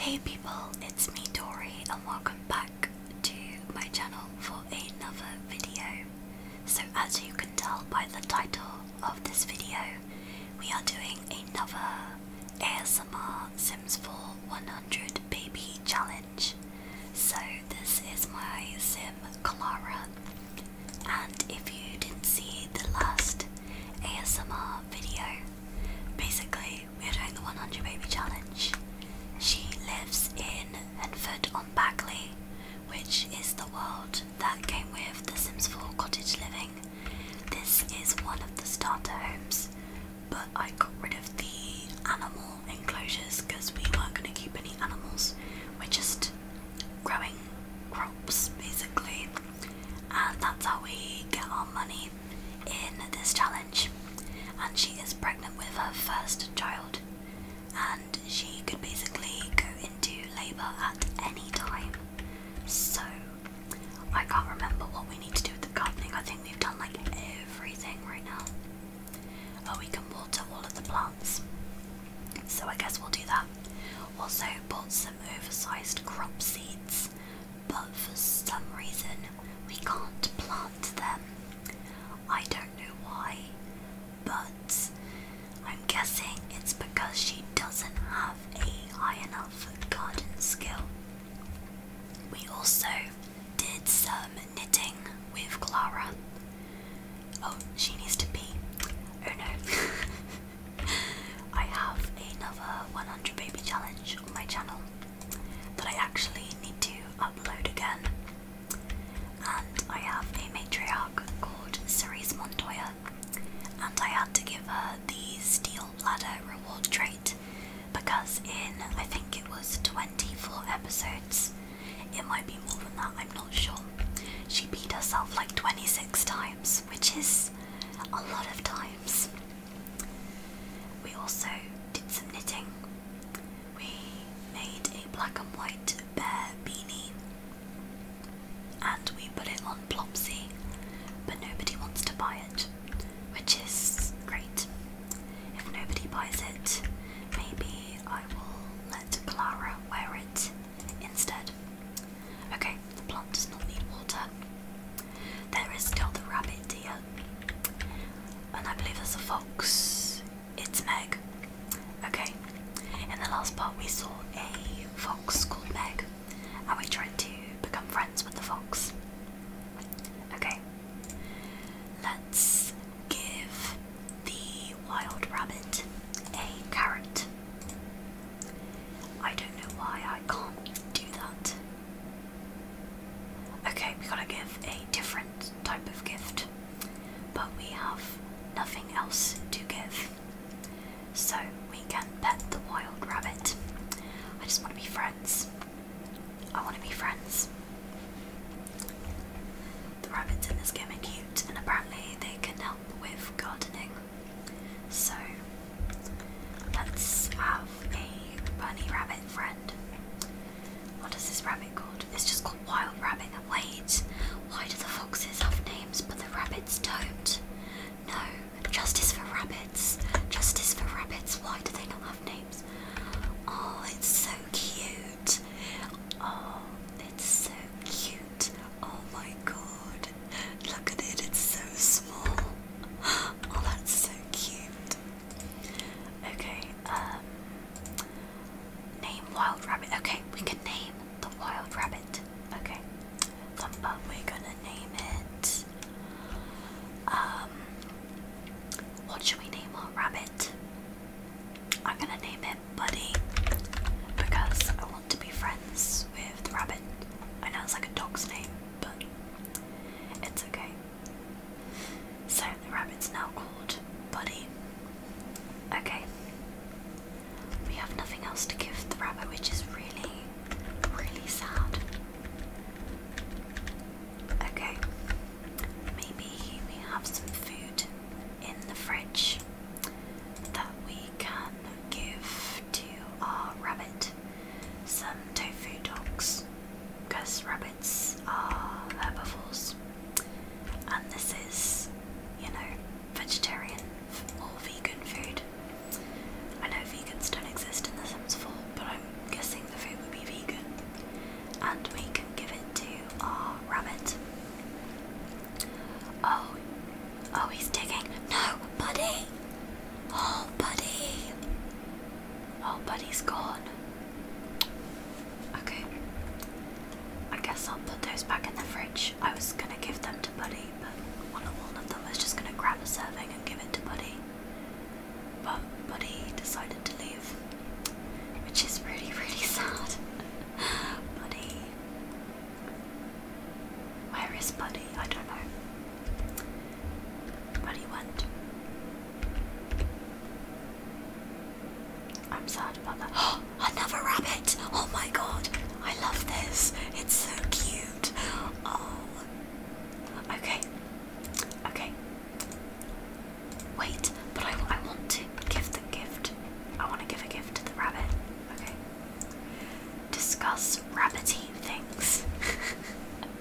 Hey people, it's me Dory, and welcome back to my channel for another video. So as you can tell by the title of this video, we are doing another ASMR Sims 4 100 Baby Challenge. So this is my Sim Clara and if you didn't see the last ASMR video, basically we are doing the 100 baby challenge. She lives in Enfield on Bagley, which is the world that came with The Sims 4 cottage living. This is one of the starter homes, but I got rid of the animal enclosures because we weren't going to keep any animals. We're just growing crops basically, and that's how we get our money in this challenge and she is pregnant with her first child, and she could basically go into labour at any time. So I can't remember what we need to do with the gardening. I think we've done like everything right now. Oh, we can water all of the plants. So I guess we'll do that. Also bought some oversized crop seeds but for some reason we can't plant them. I don't know why, but I'm guessing it's because she doesn't have a high enough garden skill. We also did some knitting with Clara. Oh, she needs to be. Oh no. I have another 100 baby challenge on my channel that I actually need to upload again. And I have a matriarch called Cerise Montoya, and I had to give her the Steel Bladder Reward trait because, in I think it was 24 episodes, it might be more than that, I'm not sure. She beat herself like 26 times, which is a lot of times. We also did some knitting. We made a black and white bear beanie and we put it on Plopsy, but nobody wants to buy it, which is great. If nobody buys it, maybe I will let Clara wear it instead. Okay, the plant does not need water. There is still the rabbit, dear. And I believe there's a fox. It's Meg. Okay. In the last part, we saw a fox called Meg, and we tried to become friends with the fox. Okay. Let's give the wild rabbit a carrot. I don't know why I can't do that. Okay, we gotta give a different type of gift, but we have nothing else to give. So we can pet the wild rabbit. I just want to be friends. I want to be friends. The rabbits in this game are cute, and apparently they can help with gardening. So let's have have a bunny rabbit friend. What is this rabbit called? It's just called Wild Rabbit. And wait, why do the foxes have names but the rabbits don't? No, justice for rabbits. Justice for rabbits. Why do they not have names? Oh, it's so cute. Oh, it's so cute. Oh my god. Look at it, it's so small. Oh, that's so cute. Okay, um name wild rabbit. Okay, we can name the wild rabbit. Okay. Thumb we're gonna name it. Um what should we name our rabbit? I'm gonna name it Buddy because I want to be friends with the rabbit. I know it's like a dog's name, but it's okay. So the rabbit's now called Buddy. Okay. We have nothing else to give the rabbit, which is really, really sad. Okay. Maybe we have some food in the fridge that we can give to our rabbit. Some tofu dogs, because rabbit rabbits herbivores, and this is, you know, vegetarian or vegan food. I know vegans don't exist in The Sims 4, but I'm guessing the food would be vegan, and we can give it to our rabbit. Oh, oh, he's digging. No, buddy! Oh, buddy! Oh, buddy's gone. Okay. I guess I'll put those back in the fridge. I was gonna give them to Buddy, but one of them was just gonna grab a serving and give it to Buddy. But Buddy decided to leave, which is really, really sad. Buddy. Where is Buddy? I don't know. What do you want? I'm sad about that. Oh, another rabbit! Oh my god! I love this. It's so cute. Oh. Okay. Okay. Wait, but I, I want to give the gift. I want to give a gift to the rabbit. Okay. Discuss rabbity things.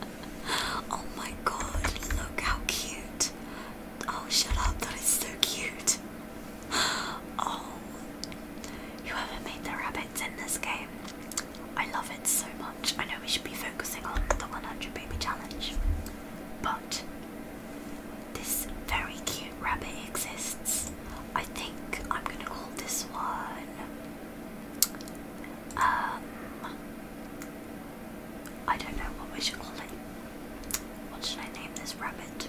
Oh my god, look how cute. Oh, shut up, that is so cute. Oh, whoever made the rabbits in this game, I love it so much. I know we should be focusing on the 100 baby challenge, but this very cute rabbit exists. I think I'm gonna call this one. Um, I don't know what we should call it. What should I name this rabbit?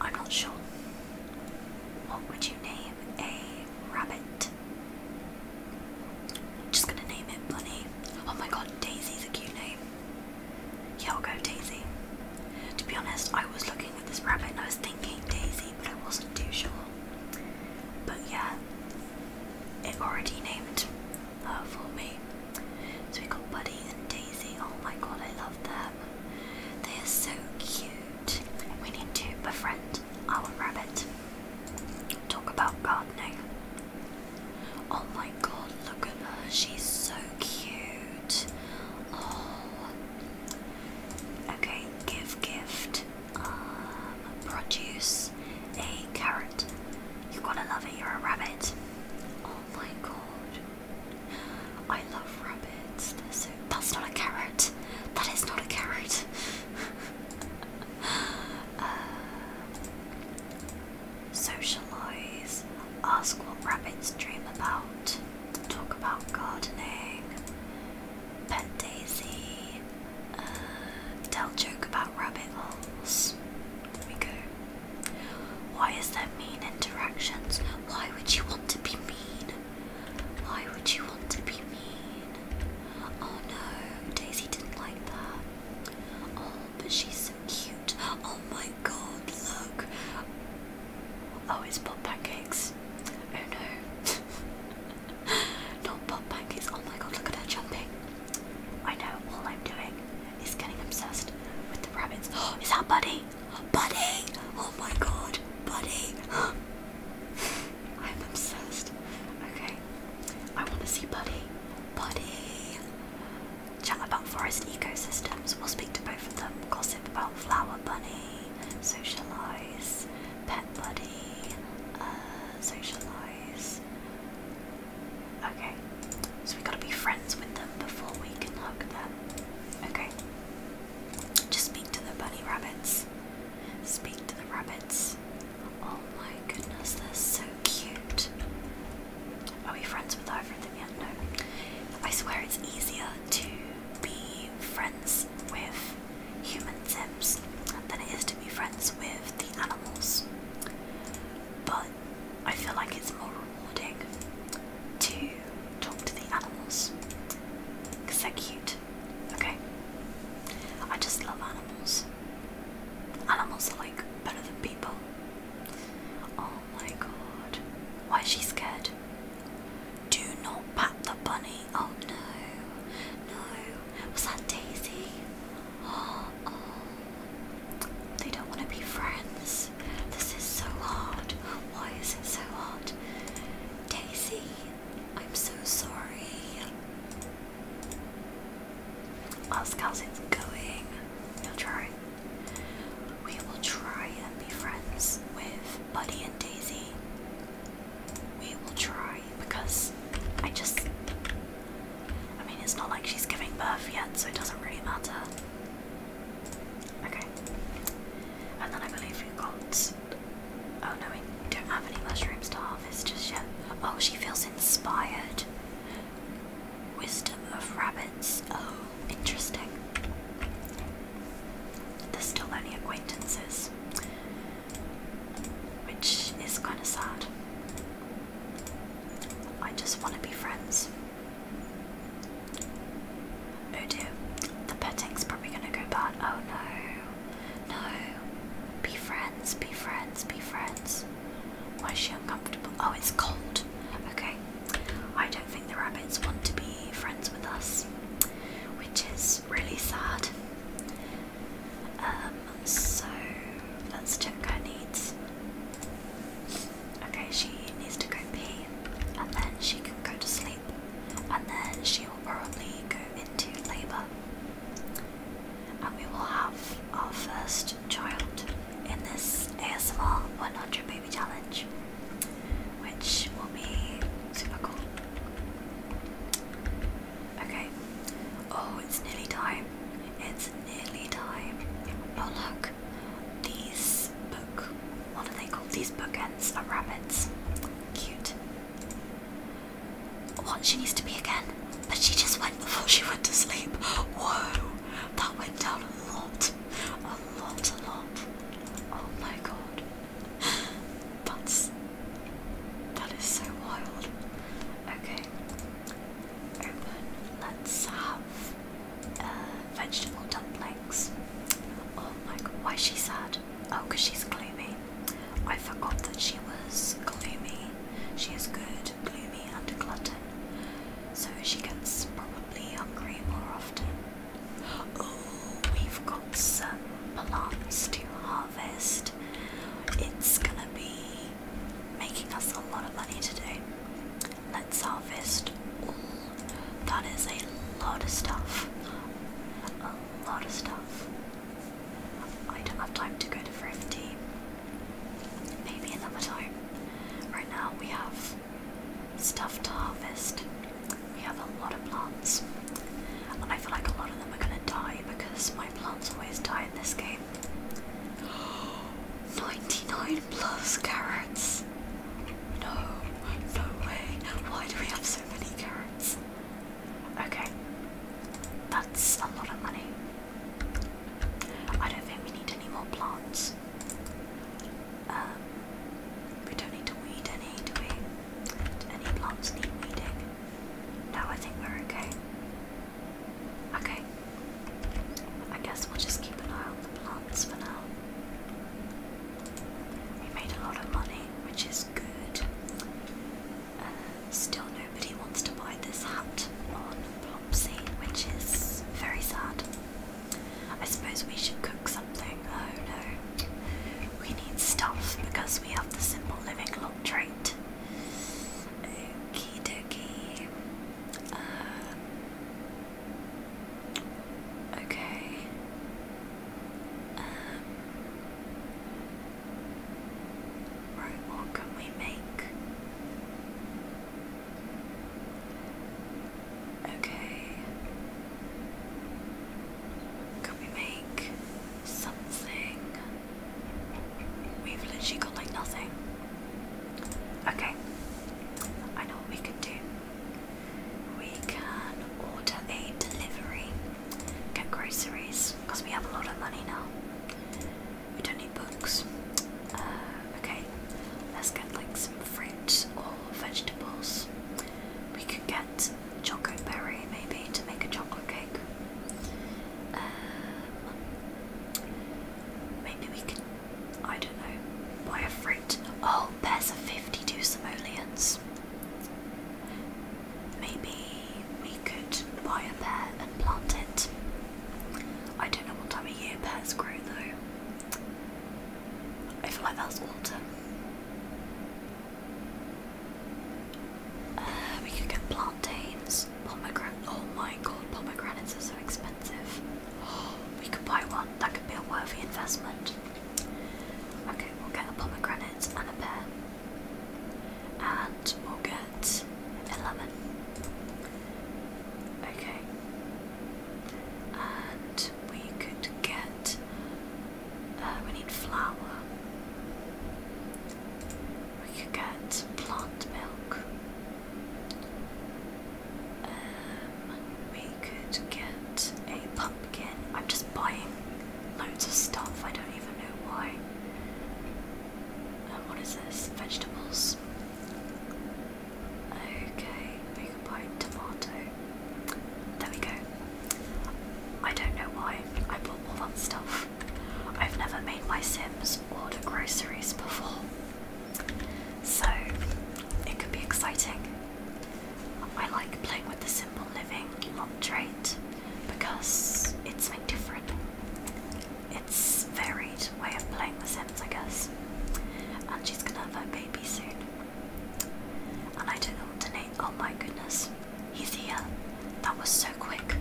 I'm not sure. What would you name a rabbit? I'm just gonna name it Bunny. Oh my god, Daisy's a cute name. Yeah, I'll go Daisy. To be honest, I was looking at this rabbit and I was thinking Daisy but I wasn't too sure. But yeah, it already named her for me. So we call Buddy and Daisy. Oh my god, I love them. They are so cute. We need to befriend our rabbit. Talk about gardening. Oh my god, look at her. She's so cute. Oh. Okay, give gift. Um, produce a carrot. You are going to love it, you're a rabbit. Oh my god. I love rabbits. so that's not a carrot. That is not a carrot. Uh, socialize. Ask what rabbits dream about. Talk about gardening. Pet Daisy, uh, tell joke about rabbit holes. There we go. Why is there mean interactions? Why would you want to be mean? Why would you want to be mean? Oh no, Daisy didn't like that. Oh, but she's so cute. Oh my god, look. Oh, it's pot pancakes. Oh no. Not pop Oh my god, look at her jumping. I know all I'm doing is getting obsessed with the rabbits. is that Buddy? Buddy! Oh my god, Buddy! I'm obsessed. Okay. I want to see Buddy. Buddy! Chat about forest ecosystems. We'll speak to both of them. Gossip about flower bunny. Socialise pet buddy, uh, socialise. Okay, so we gotta be friends with them before we can hug them. Okay, just speak to the bunny rabbits. Speak to the rabbits. Oh my goodness, they're so cute. Are we friends with either of them yet? No. I swear it's easier to be friends with human Sims than it is to be friends with the animals. But I feel like it's more rewarding to talk to the animals because they're cute. Okay, I just love animals. Animals are like better than people. Oh my god. Why is she scared? Do not pat the bunny. Oh no, no. Was that Daisy? Oh, They don't want to be friends. This is so hard. Why is it so hard? Daisy, I'm so sorry. Ask how's it going. You'll try. We will try and be friends with Buddy and Daisy. We will try because I just. I mean, it's not like she's giving birth yet, so it doesn't really matter. Okay. And then I believe we got. Oh no, we don't have any mushrooms to harvest just yet. Oh, she feels inspired. Wisdom of rabbits. Oh, interesting. There's still only acquaintances which is kind of sad. I just want to be friends. Oh dear, the petting's probably going to go bad. Oh no, no. Be friends, be friends, be friends. Why is she uncomfortable? Oh, it's cold. Okay, I don't think the rabbits want to be friends with us, which is really sad. Um, so let's check her needs. Okay, she needs to go pee, and then she can go to sleep, and then she will probably go into labour. And we will have our first child in this ASMR 100 baby challenge, which will be super cool. Okay. Oh, it's nearly time. It's nearly time. Oh look, these book. What are they called? These bookends are rabbits. Cute. What she needs to be again? But she just went before she went to sleep. Whoa, that went down a lot, a lot, a lot. Oh my god, that's that is so wild. Okay. Open. Let's have uh, vegetable dumplings. Oh my god, why is she sad? Oh, because she's gloomy. I forgot that she was gloomy. She is good, gloomy, and a glutton. So she gets probably hungry more often. Oh, we've got some plants to harvest harvest, it's gonna be making us a lot of money today. Let's harvest That is a lot of stuff. A lot of stuff. I don't have time to go to Thrifty. Maybe another time. Right now we have stuff harvest. We have a lot of plants and I feel like a lot of them are gonna die because my plants always die in this game. 99 plus carrots! No, no way. Why do we have so many carrots? Okay, that's a lot of money. I don't think we need any more plants. Um, we don't need to weed any, do we? Do any plants need weeding? No, I think we're okay. Okay. I guess we'll just keep an eye on the plants for now. We made a lot of money, which is good. Uh, still, nobody wants to buy this hut on Plopsy, which is very sad. I suppose we should cook something. Oh no. We need stuff because we have the simple living lot trait. Okie dokie. Um, okay. Um, what can we make? Okay. Can we make something? We've literally got like nothing. Okay, I know what we can do. We can order a delivery, get groceries, because we have a lot of money now. We don't need books. Uh, okay, let's get like some fruit or vegetables. We could get chocolate berry maybe to make a chocolate cake. Um, maybe we can, I don't know, buy a fruit. Oh, pairs of 52 simoleons. Maybe we could buy a pear and plant it. I don't know what time of year pears grow though. I feel like that's autumn. Uh, we could get plantains, pomegranate. Oh my god, pomegranates are so expensive. we could buy one. That could be a worthy investment. Okay, we'll get a pomegranate and a pear, and we'll get a lemon. Okay, and we could get. Uh, we need flour we could get plant milk. Um, we could get a pumpkin. I'm just buying loads of stuff. I don't even know why. And uh, what is this? Vegetables. Okay, we can buy tomato. There we go. I don't know why I bought all that stuff. I've never made my Sims order groceries before, so it could be exciting. I like playing with the simple living lot trait because it's something different. It's varied way of playing the Sims, I guess. And she's gonna have her baby soon. And I don't to name. Oh my goodness. He's here. That was so quick.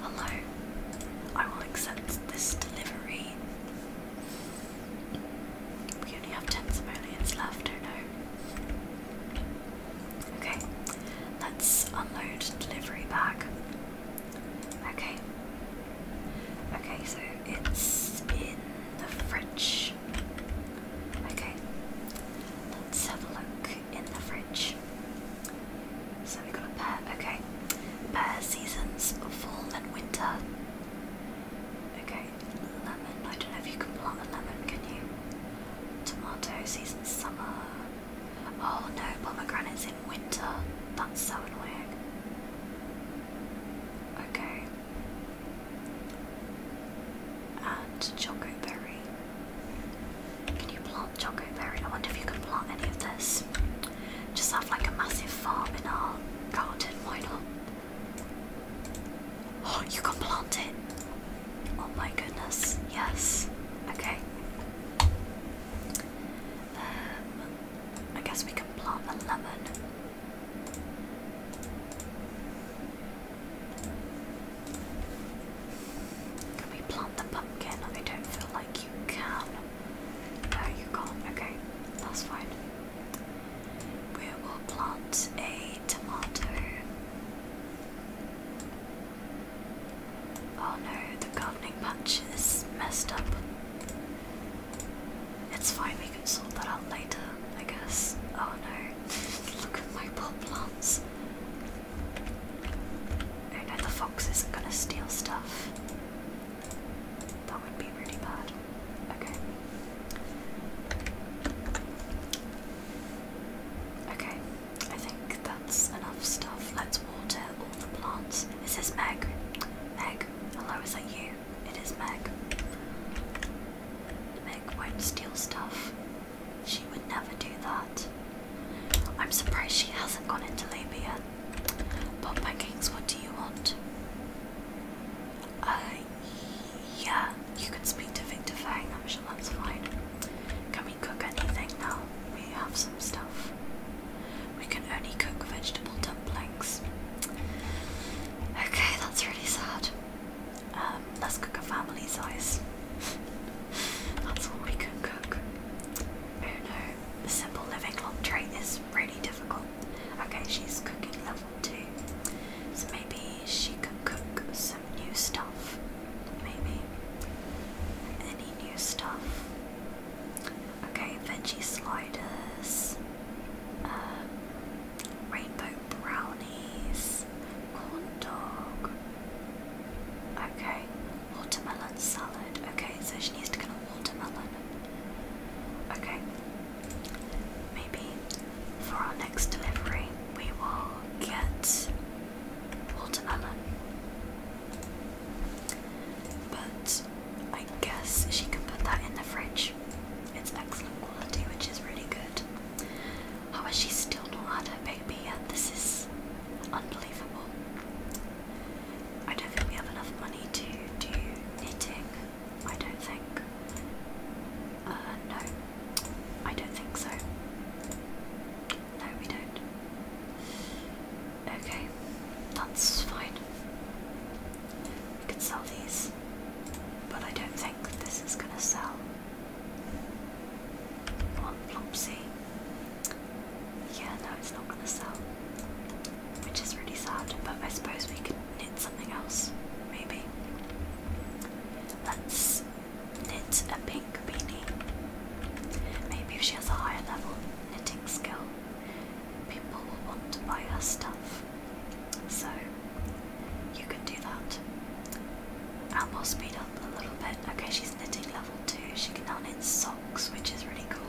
Hello. I will accept this delivery. We only have 10 simoleons left, oh no. Okay, let's unload delivery bag. Okay. Okay, so it's in the fridge. Okay, let's have a look in the fridge. So we've got a pear, okay. Pear seasons, fall and winter. Okay, lemon, I don't know if you can plant a lemon, can you? Tomato season, summer. Oh no, pomegranates in winter. That's so annoying. Okay. And chocolate berry. Can you plant plant chocoberry. I wonder if you can plant any of this. Just have like a massive farm in our garden, why not? Oh, you can plant it. Oh my goodness, yes. Okay. Um, I guess we can plant the lemon. Can we plant the pumpkin? I don't feel like you can. No, you can't. Okay, that's fine. We will plant a tomato. Oh no, the gardening patch is messed up. It's fine, we can sort that out later, I guess. Oh no, look at my pot plants. I know the fox isn't gonna steal stuff. That would be really bad. Okay. Okay, I think that's enough stuff. Let's water all the plants. This Is Meg? Meg, hello, is that you? It is Meg. Meg won't steal stuff. She would never do that. I'm surprised she hasn't gone into labor yet. But Kings, what do you want? Uh, yeah, you can speak to Victor Fang, I'm sure that's fine. Can we cook anything now? We have some stuff. We can only cook vegetable dumplings. Okay, that's really sad. Um, let's cook a family size. That's all we can cook. Oh no, the simple living laundry is really difficult. Okay, she's cooking level 2. So maybe she can cook some new stuff. Maybe. Any new stuff. Okay, veggie sliders. Um, rainbow brownies. Corn dog. Okay, Watermelon salad. Okay, so she needs to get a watermelon. Okay. Maybe for our next delivery we will get watermelon. But I guess she can put that in the fridge. It's excellent quality, which is really good. How oh, is she still not had her baby yet? This is unbelievable. I don't think we have enough money to do knitting. I don't think. Uh, no, I don't think so. No, we don't. Okay, that's fine. We could sell these, but I don't think this is gonna sell. One plopsy yeah, no, it's not gonna sell, which is really sad. But I suppose we could knit something else, maybe. Let's knit a pink beanie. Maybe if she has a higher level knitting skill, people will want to buy her stuff. So you can do that. And we'll speed up a little bit. Okay, she's knitting level 2, she can now knit socks, which is really cool.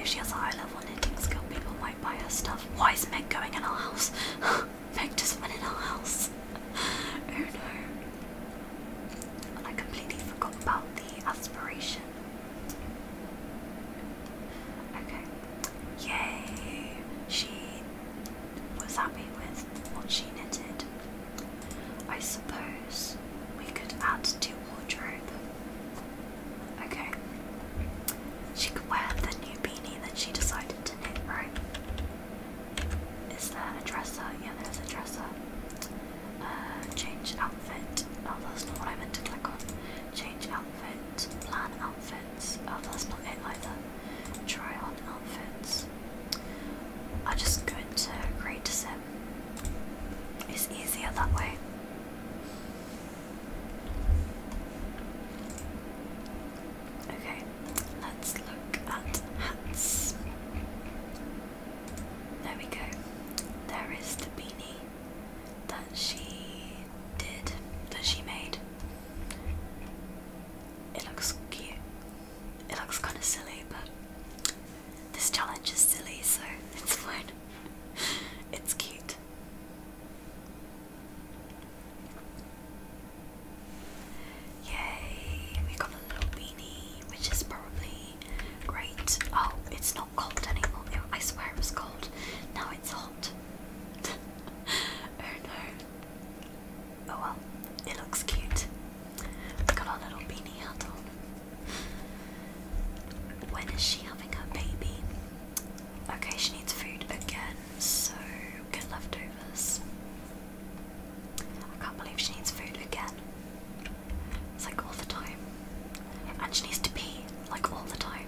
If she has a high level knitting skill, people might buy her stuff. Why is Meg going in our house? Meg just went in our house. oh no. I completely forgot about the aspiration. Okay. Yay! She was happy with what she knitted. I suppose we could add to wardrobe. Okay. She could wear the new beanie that she decided to knit, right? Is there a dresser? Yeah, there's a dresser. Uh, change outfit. Oh, that's not what I meant to click on. Change outfit. Plan outfits. Oh, that's not it either. Try on outfits. I'm just going to agree to say it's easier that way. Okay, let's look at hats. There we go. There is the beanie that she did, that she made. It looks cute. It looks kind of silly, but this challenge is silly, so it's fun. it's cute. Yay, we got a little beanie, which is probably great. Oh, it's not cold anymore. I swear it was cold. Now it's hot. oh no. Oh well, it looks cute. Look our little beanie hat on. When is she having her baby? Okay, she needs food again, so good leftovers. I can't believe she needs food again. It's like all the time. And she needs to pee, like all the time.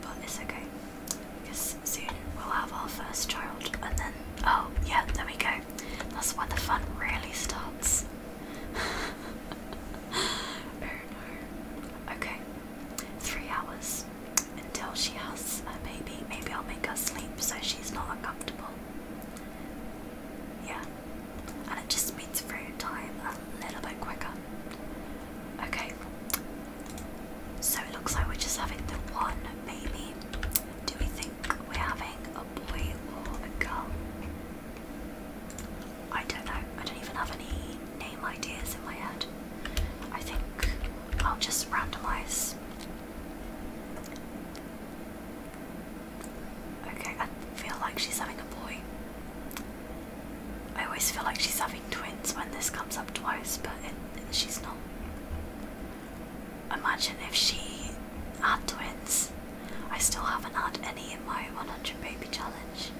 But it's okay. Because soon we'll have our first child, and then oh yeah, there we go. That's when the fun really starts. oh no. Okay, three hours until she has a baby. Maybe I'll make her sleep so she's not uncomfortable. Yeah, and it just speeds through time a little bit quicker. Okay, so it looks like we're just having the one baby do we think we're having a boy or a girl? I don't know. I don't even have any name ideas in my head. I think I'll just randomize. Okay, I feel like she's having a boy. I always feel like she's having twins when this comes up twice, but she's not. Imagine if she had twins. I still haven't had any in my 100 baby challenge.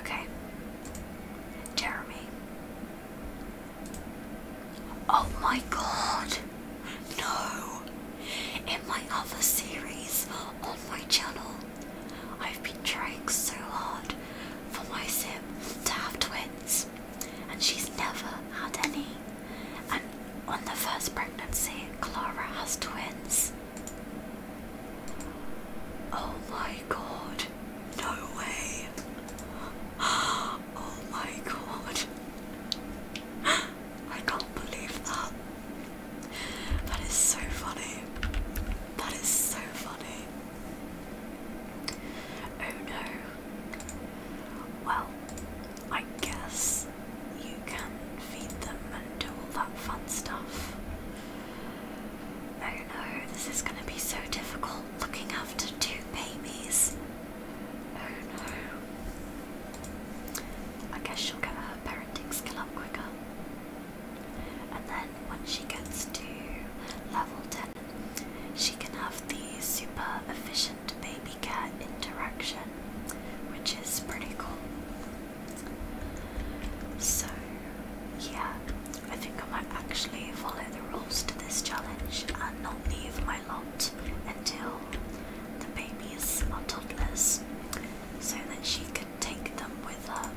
Okay. Jeremy. Oh my god! No! In my other series on my channel, I've been trying so hard for my sim to have twins and she's never had any. And on the first pregnancy, Clara has twins. Oh my god, no way. Oh my god, I can't believe that. That is so funny. That is so funny. Oh no, well, I guess you can feed them and do all that fun stuff. Oh no, this is gonna be so difficult looking after two babies. Oh no. I guess she'll get her parenting skill up quicker. And then when she gets to level 10, she can have the super efficient baby cat interaction, which is pretty cool. So, yeah, I think I might actually follow the rules to this challenge and not leave my lot until the babies are toddlers so that she can take them with her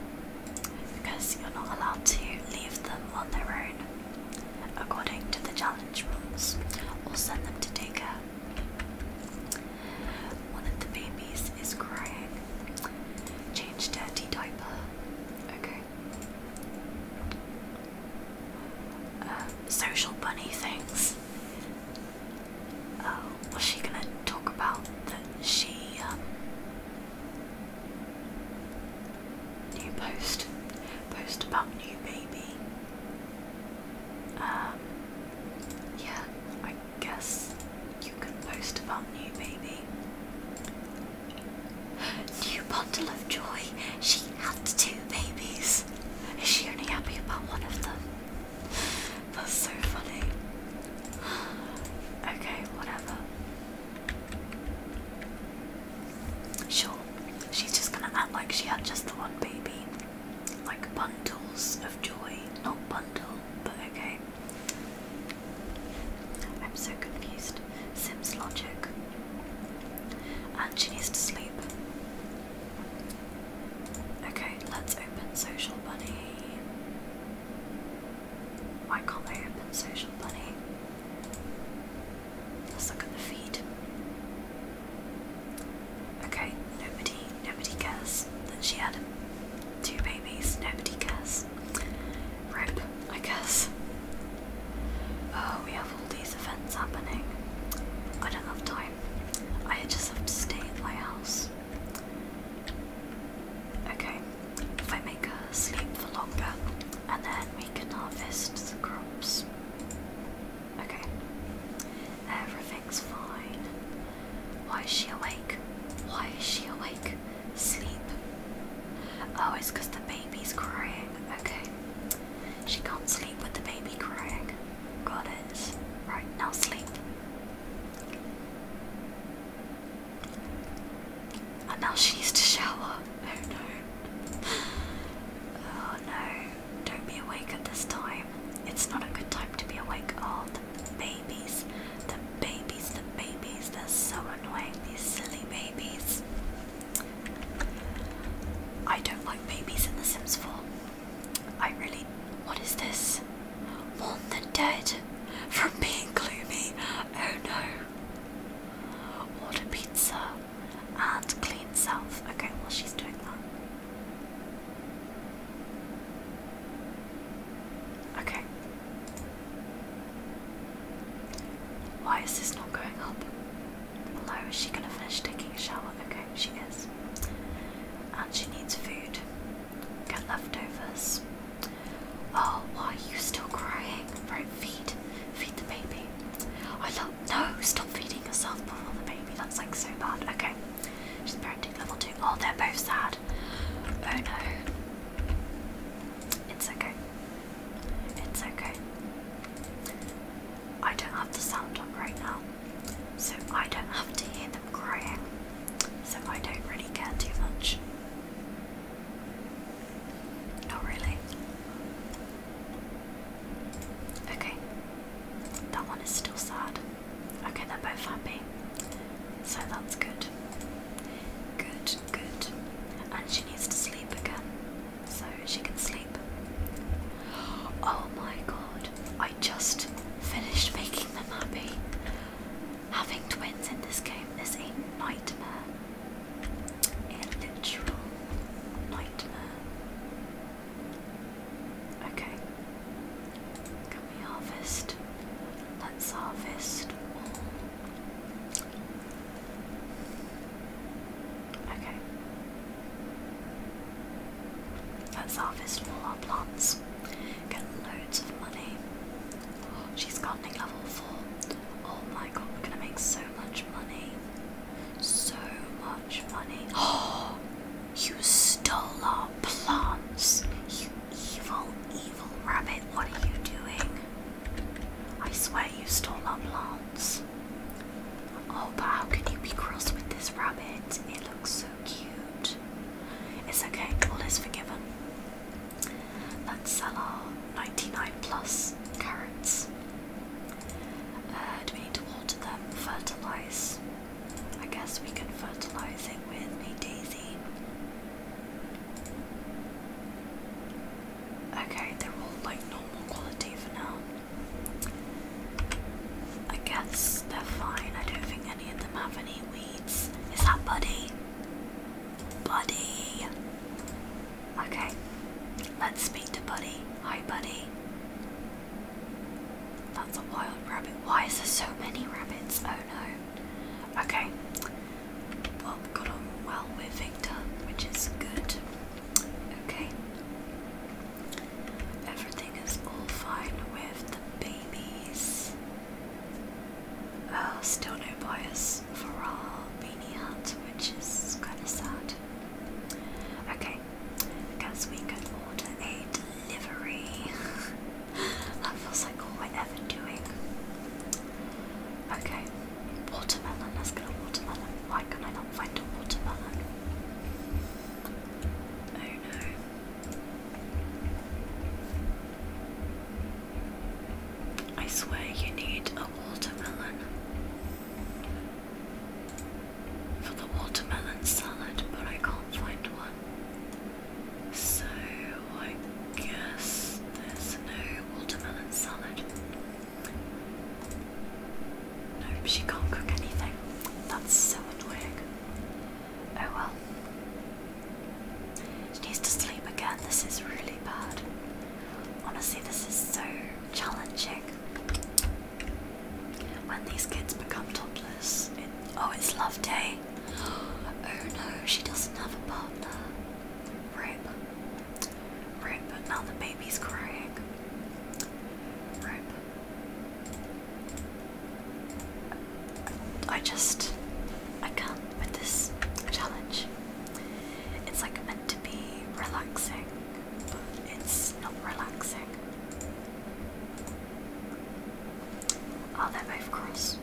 because you're not allowed to leave them on their own according to the challenge rules, we'll send them to daycare. One of the babies is crying. Change dirty diaper. Okay. Uh, social bunny things. Oh, uh, was she gonna talk about that she um new post, post about new baby. Um, yeah, I guess you can post about new baby. New bundle of joy. She had two babies. Is she only happy about one of them? That's so funny. Okay, whatever. Sure, she's just gonna act like she had just the one baby. Like bundles of joy. Not bundle, but okay. I'm so confused. Sims logic. And she needs to sleep. Okay, let's open Social Bunny. Why can't I open Social Bunny? Let's look at the feed. Okay, nobody, nobody cares Then she had two babies. Nobody cares. Rip, I guess. Oh, we have all these events happening. I don't have time. I just stay at my house. Okay, if I make her sleep for longer, and then we can harvest the crops. Okay. Everything's fine. Why is she awake? Why is she awake? Sleep. Oh, it's because the baby's crying. Okay. She can't sleep with the baby crying. Got it. Right, now sleep. And now she needs to shower. Oh no. Oh no, don't be awake at this time. It's not a good time to be awake. All oh, the babies, the babies, the babies, they're so annoying, these silly babies. I don't like babies in The Sims 4. I really. What is this? Mourn the dead from being gloomy. Oh no. Order pizza and clean self. Okay, well, she's doing that. Okay. Why is this not going up? Below, is she gonna finish taking a shower? Okay, she is. And she needs food. Get leftovers. Oh, why are you still crying? Right, feed. Feed the baby. I love no, stop feeding yourself before the baby. That's like so bad. Okay. She's parenting level two. Oh, they're both sad. Oh no. It's okay. It's okay. I don't have the sound up right now. So I don't have to hear them crying. So I don't really care too much. Not really. Okay. That one is still sad. Okay, they're both happy. So that's good. Good, good. And she needs to sleep again. So she can sleep. Oh my god. I just finished making them happy. Having twins in this game is a nightmare a literal nightmare. Okay, can we harvest? Let's harvest Okay. Let's harvest all our plants. Get loads of money. Oh, she's gardening level 4. Oh my god, we're gonna make so much money. So much money. Oh, you stole our plants. You evil, evil rabbit. What are you doing? I swear you stole our plants. Oh, but how can you be cross with this rabbit? It looks so cute. It's okay, all is forgiven. Let's sell our 99 plus carrots. Uh, do we need to water them? Fertilize. I guess we can fertilize it with a daisy. Okay, they're all like normal quality for now. I guess they're fine. I don't think any of them have any weeds. Is that Buddy? Buddy! Okay, let's speak to Buddy. Hi, Buddy. That's a wild rabbit. Why is there so many rabbits? Oh no. Okay, well, we got on well with Victor, which is good. Okay, everything is all fine with the babies. Uh, still no bias for our beanie hat, which is kind of sad. Okay, because we could order a delivery. that feels like all we're ever doing. Okay, watermelon. Let's get a watermelon. Why can I not find a watermelon? Oh no. I swear you need a watermelon for the watermelon salad, but I can't find one. So I guess there's no watermelon salad. Nope, she can't cook anything. That's so annoying. Oh well. She needs to sleep again. This is really bad. Honestly, this is so challenging. When these kids become toddlers, oh, it's love day. Eh? Oh no, she doesn't have a partner. Rip. Rip, but now the baby's crying. Rip. I just, I can with this challenge. It's like meant to be relaxing it's not relaxing. Oh, they both cross.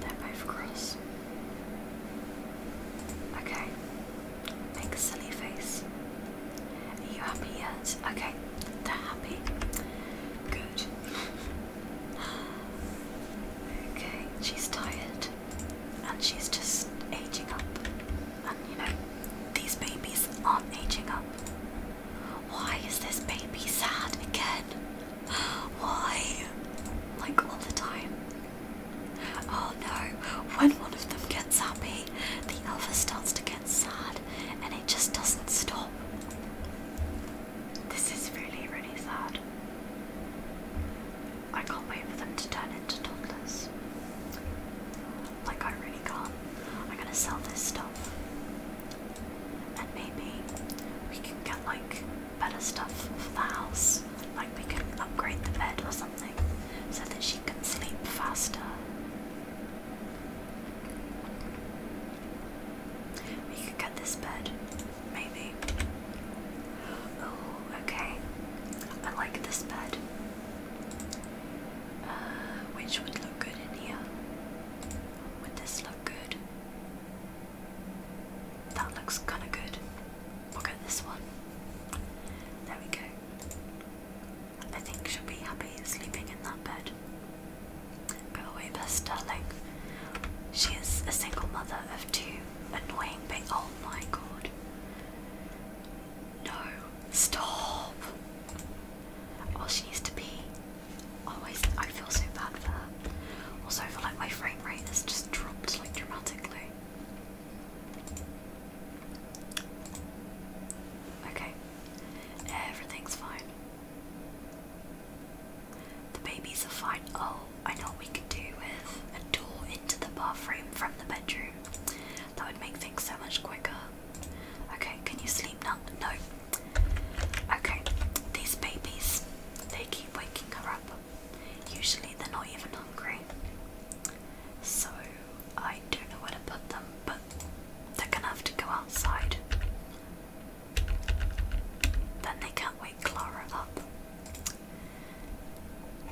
They're both cross. Okay. Make a silly face. Are you happy yet? Okay, they're happy. Good. okay, she's tired and she's just aging up. And you know, these babies aren't aging up. Why is this baby sad again? Why? Like all the time. Oh no, when one of them gets happy, the other starts to get sad and it just doesn't stop. This is really, really sad. I can't wait for them to turn orange us, Like I really can't. I'm gonna sell this stuff. And maybe we can get like better stuff for the house. Like we can upgrade the bed or something so that she can sleep faster. We could get this bed, maybe. Oh, okay. I like this bed which would look good in here? Would this look good? That looks kind of good. Look we'll at this one. There we go. I think she'll be happy sleeping in that bed. Go away, way, bless She is a single mother of two. Annoying, but oh my god. No, stop. Oh, she needs to be. Always, I feel so bad for her. Also, I feel like my frame rate has just dropped like dramatically. Okay, everything's fine. The babies are fine. Oh, I know what we could do with a door into the bathroom from the bedroom. That would make things so much quicker. Okay, can you sleep now? No. Okay, these babies, they keep waking her up. Usually they're not even hungry. So I don't know where to put them, but they're gonna have to go outside. Then they can't wake Clara up.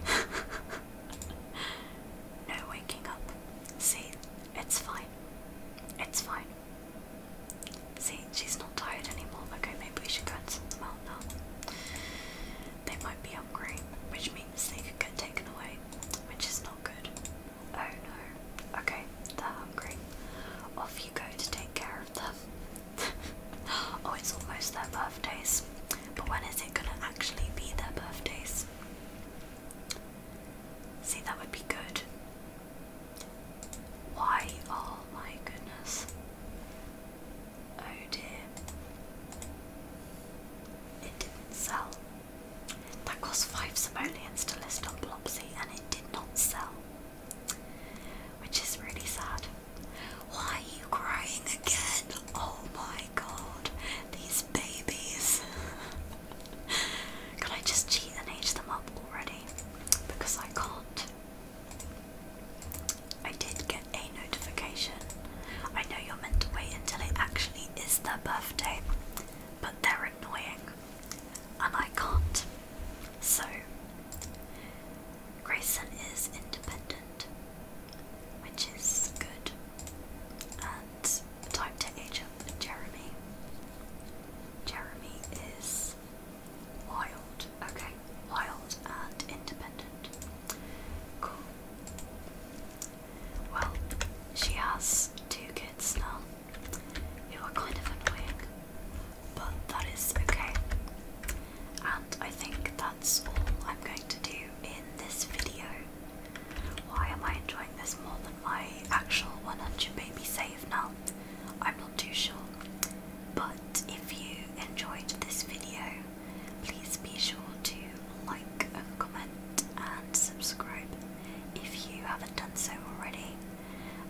No waking up. See, it's fine. It's fine. See, she's not tired anymore. Okay, maybe we should go and sort them out now. They might be hungry, which means they could get taken away, which is not good. Oh no. Okay, they're hungry. Off you go to take care of them. oh, it's almost their birthdays. But when is it gonna actually be their birthdays? See, that would be good. Why? Oh my goodness. Oh dear. It didn't sell. That cost five simoleons to list on Blopsy and it did not sell. Which is really sad. Why are you crying again? Oh my god, these babies. Can I just cheat and age them up already? Because I can't. I did get a notification. I know you're meant to wait until it actually is their birthday, but they're annoying and I can't. So, Grayson is independent, which is good. And time to age up Jeremy. Jeremy is wild, okay, wild and independent. Cool. Well, she has two kids now who are kind of annoying, but that is okay. And I think that's all I'm going to do in this video. Why am I enjoying this more than my actual 100 baby save now? I'm not too sure. But if you enjoyed this video, please be sure to like and comment and subscribe if you haven't done so already.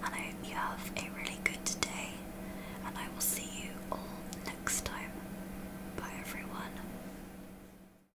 And I hope you have a really good day, and I will see you all next time. Bye everyone.